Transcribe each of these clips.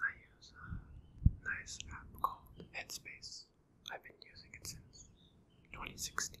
I use a nice app called Headspace. I've been using it since 2016.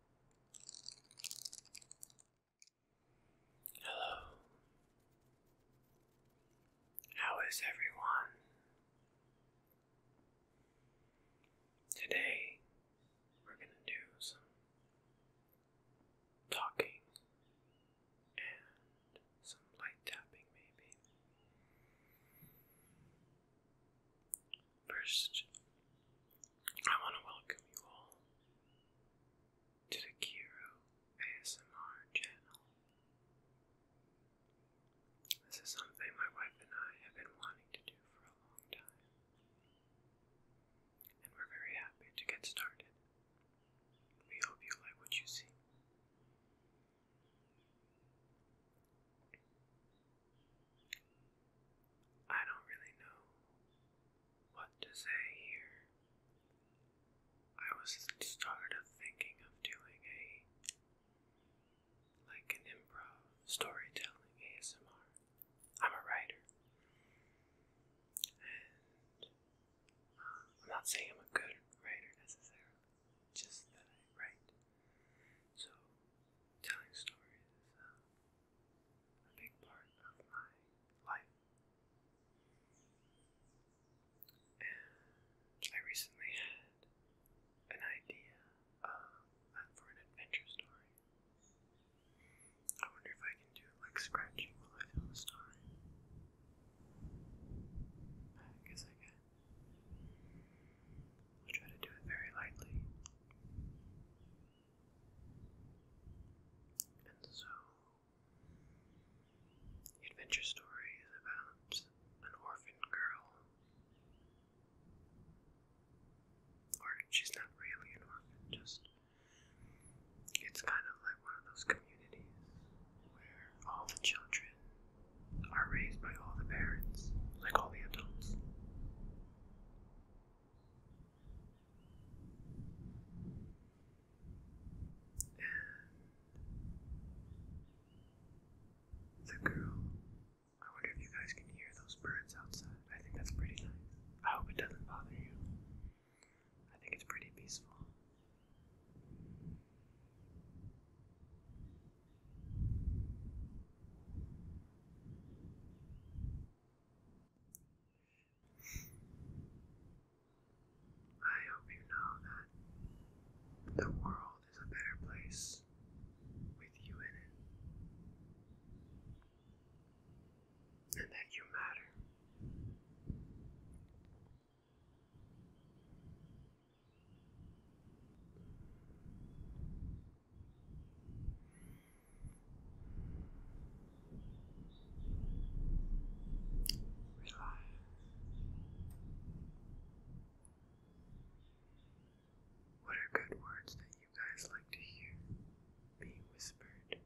Hello. How is everyone? Today we're going to do some talking and some light tapping, maybe. First, I want to welcome you all to the Kiro ASMR channel. This is something my wife and I have been wanting to do for a long time, and we're very happy to get started. We hope you like what you see. I don't really know what to say here. I was started of thinking of doing a like an improv storytelling ASMR. I'm a writer. And uh, I'm not saying I'm a good writer necessarily, just that I write. So telling stories uh, a big part of my life. I recently had an idea for an adventure story. I wonder if I can do like scratching while I tell the story. I guess I can. I'll try to do it very lightly. And so, the adventure story is about an orphan girl. Or she's not really an orphan, just it's kind of like one of those communities where all the children are raised by all the parents, like all the adults the girl. I wonder if you guys can hear those birds outside. I think that's pretty nice. I hope it doesn't bother you. I think it's pretty peaceful. I hope you know that the world is a better place with you in it, and that you matter. What are good words that you guys like to hear being whispered?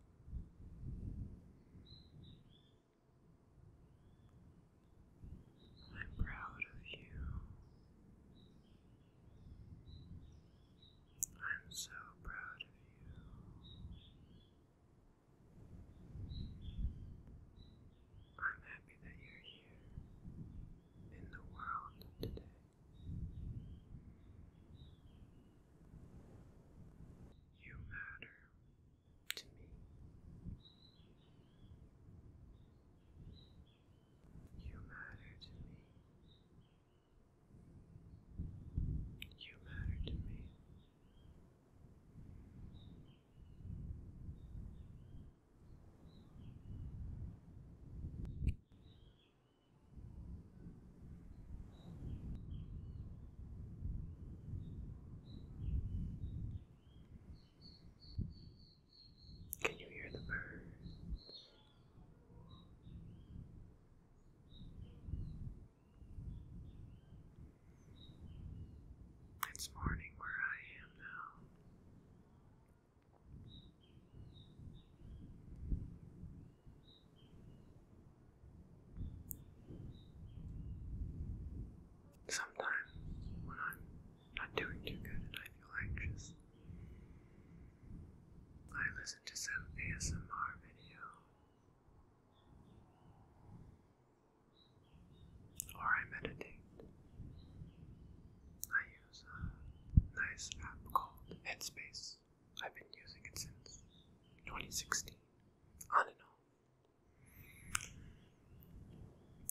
I'm proud of you. I'm so proud of you. I'm happy that you're here in the world today. You matter to me. You matter to me. You matter to me. Can you hear the birds? It's morning where I am now. Sometimes when I'm not doing too good and I feel anxious, I listen to some ASMR video. Or I meditate. I use a nice app called Headspace. I've been using it since 2016, on and off.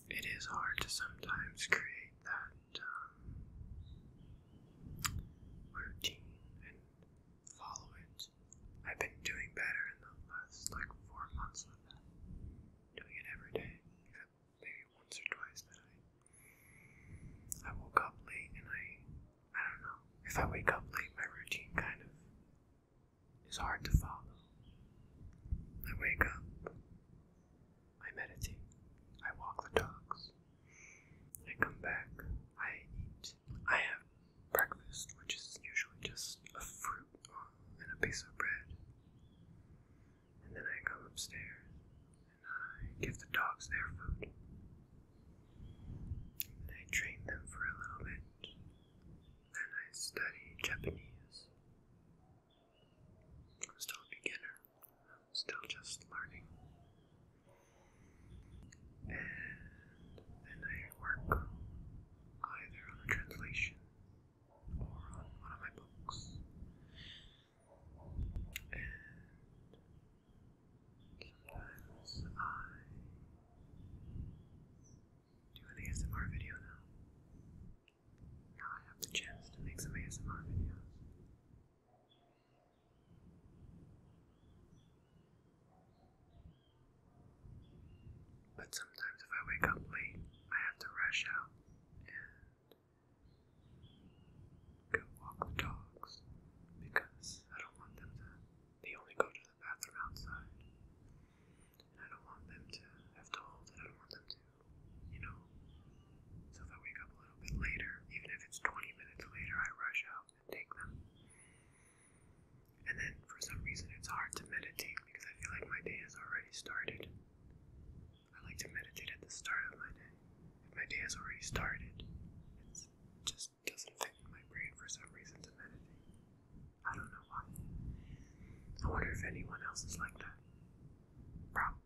It is hard to sometimes create that um, routine and follow it. I've been doing better in the last like four months of Doing it every day, maybe once or twice that I I woke up late and I I don't know. If I wake up late my routine kind of is hard to follow. I wake up, I meditate. I walk the dogs. I come back. I eat. I have breakfast, which is usually just a fruit and a piece of bread. And then I come upstairs and I give the dogs their food. And I train them for a little bit. Then I study Japanese. I'm still a beginner. I'm still just learning. And then I work either on a translation or on one of my books. And sometimes I do an ASMR video now. Now I have the chance to make some ASMR videos. But sometimes if I wake up late, I have to rush out and go walk the dogs because I don't want them to, they only go to the bathroom outside. And I don't want them to have to hold I don't want them to you know, so if I wake up a little bit later, even if it's 20 minutes later, I rush out and take them. And then for some reason, it's hard to meditate because I feel like my day has already started. I like to meditate at the start of my day. If my day has already started, it just doesn't fit in my brain for some reason to meditate. I don't know why. I wonder if anyone else is like that. Probably.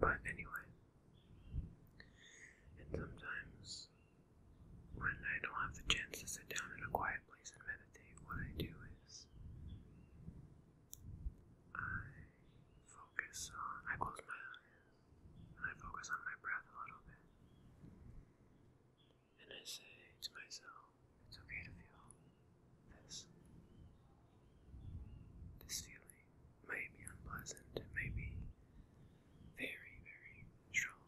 But anyway, and sometimes when I don't have the chance to sit down in a quiet place and meditate, what I do is I focus on, I close my eyes and I focus on my breath a little bit. And I say to myself, it's okay to feel this. This feeling may be unpleasant, it may be very, very strong,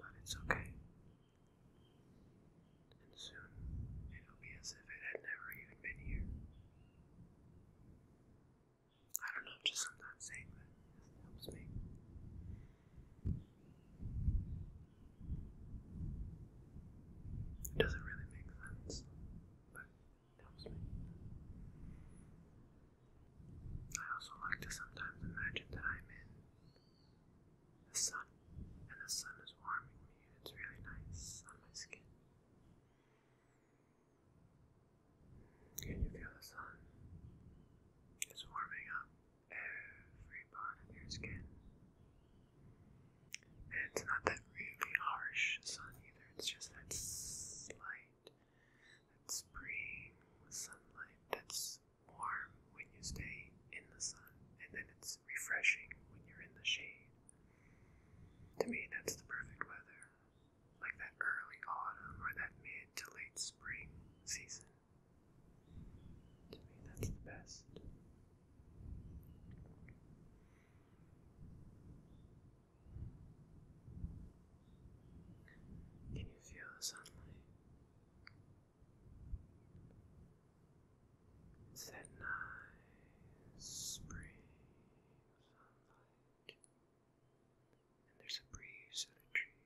but it's okay. And soon it'll be as if it had never even been here. I don't know, just sometimes saying that helps me. It doesn't really make sense, but it helps me. I also like to sometimes imagine that I'm in the sun, and the sun is warming me, and it's really nice on my skin. Can you feel the sun? It's warming up every part of your skin. And it's not that really harsh sun either, it's just that slight, that spring sunlight that's warm when you stay in the sun, and then it's refreshing when you're in the shade. To me, that's the perfect weather like that early autumn or that mid to late spring season. To me, that's the best. Can you feel the sunlight? that nice spring sunlight and there's a breeze in the tree.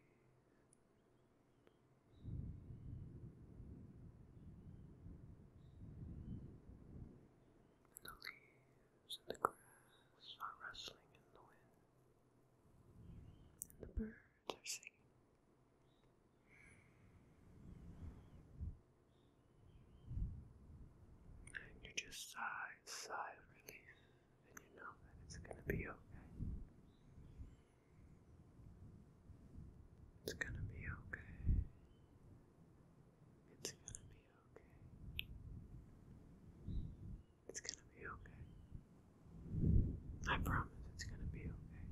And the leaves and the grass are rustling in the wind, and the birds are singing. And you just sigh, sigh of relief and you know that it's going to be okay. It's going to be okay. It's going to be okay. It's going to be okay. I promise it's going to be okay.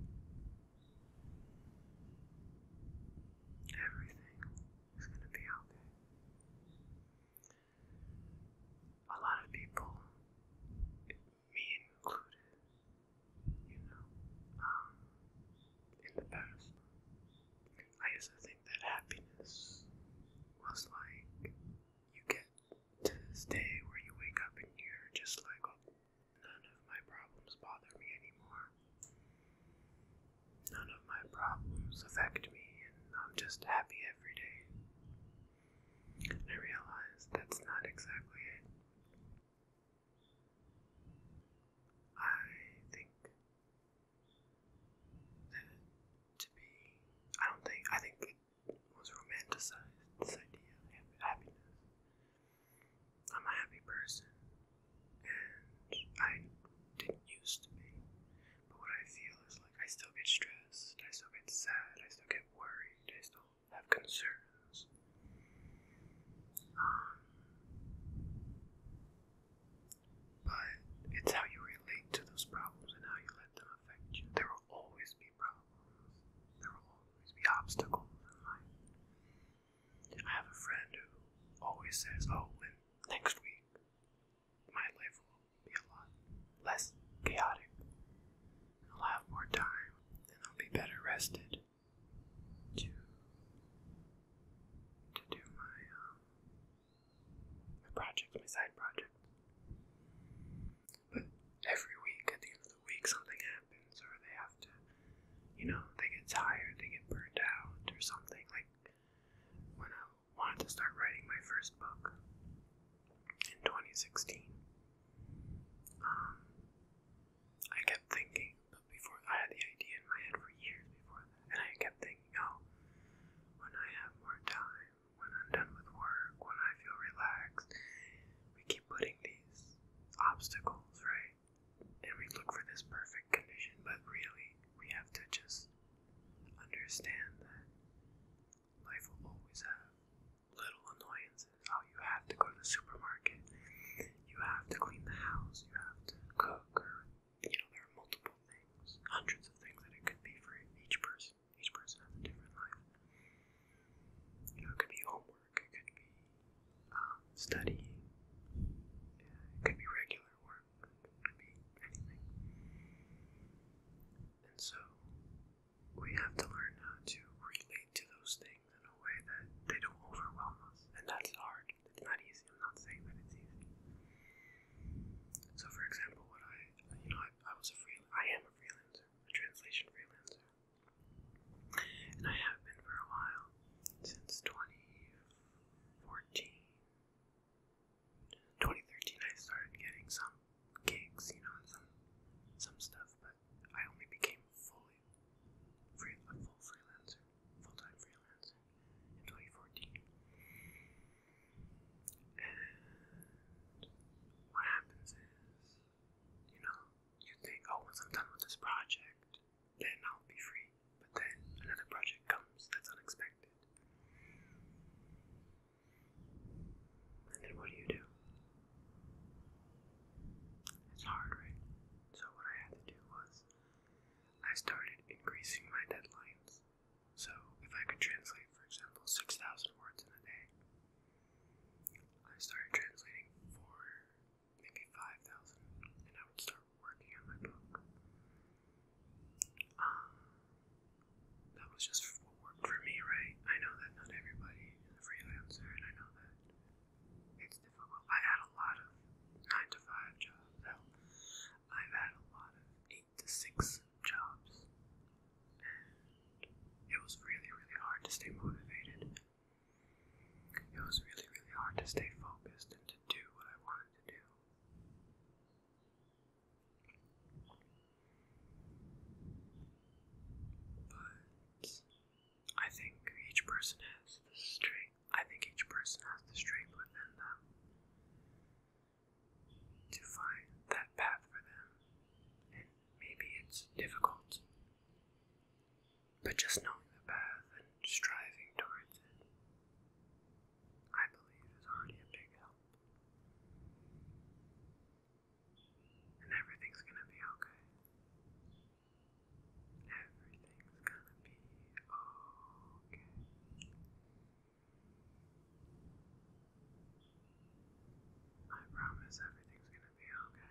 Everything is going to be okay a lot of people, me included, you know, um, in the past, I used to think that happiness was like you get to this day where you wake up and you're just like, oh, none of my problems bother me anymore. None my problems affect me, and I'm just happy every day. I realize that's not exactly it. I think that to be, I don't think, I think was romanticized, this idea of happiness. I'm a happy person, and I didn't used to be. But what I feel is like I still get stressed, I still get sad, I still get worried, I still have concerns. Um, but it's how you relate to those problems and how you let them affect you. There will always be problems, there will always be obstacles in life. I have a friend who always says, Oh, and next week, my life will be a lot less chaotic. I'll have more time and I'll be better rested to to do my um, my project, my side project. But every week, at the end of the week, something happens, or they have to, you know, they get tired, they get burned out, or something. Like when I wanted to start writing my first book in 2016. Um, I kept thinking, but before I had the idea in my head for years before and I kept thinking, oh, when I have more time, when I'm done with work, when I feel relaxed, we keep putting these obstacles, right? And we look for this perfect condition, but really, we have to just understand that life will always have little annoyances. Oh, you have to go to the supermarket, you have to clean the house, you have to cook, or you know, there are multiple things, hundreds of things that it could be for each person. Each person has a different life. You know, it could be homework, it could be um, studying, yeah, it could be regular work. And so we have to learn how to relate to those things in a way that they don't overwhelm us. And that's hard. It's not easy. I'm not saying that it's easy. So for example, what I you know, I, I was a free I am a freelancer, a translation freelancer. And I have been for a while, since 2014, 2013, I started getting some gigs, you know, some some stuff, but I only became fully free, a full freelancer, full time freelancer in 2014. And what happens is, you know, you think, oh, once I'm done with this project, then I'll be free. But then another project comes that's unexpected. And then what do you do? It's hard, right? So what I had to do was I started increasing my deadlines. So if I could translate, for example, 6,000 words in a day, I started translating for maybe 5,000 and I would start working on my book. Um, that was just what worked for me, right? I know that not everybody is a freelancer, and I know that it's difficult. I had a lot of nine to five jobs. I've had a lot of eight to six jobs, and it was really, really hard to stay motivated. It was really, really hard to stay focused and to do what I wanted to do. But I think each person has the strength. I think each person has the strength within them to find that path for them. And maybe it's difficult, but just knowing the path and striving towards it I believe is already a big help. And everything's gonna be okay. Everything's gonna be okay. I promise everything's gonna be okay.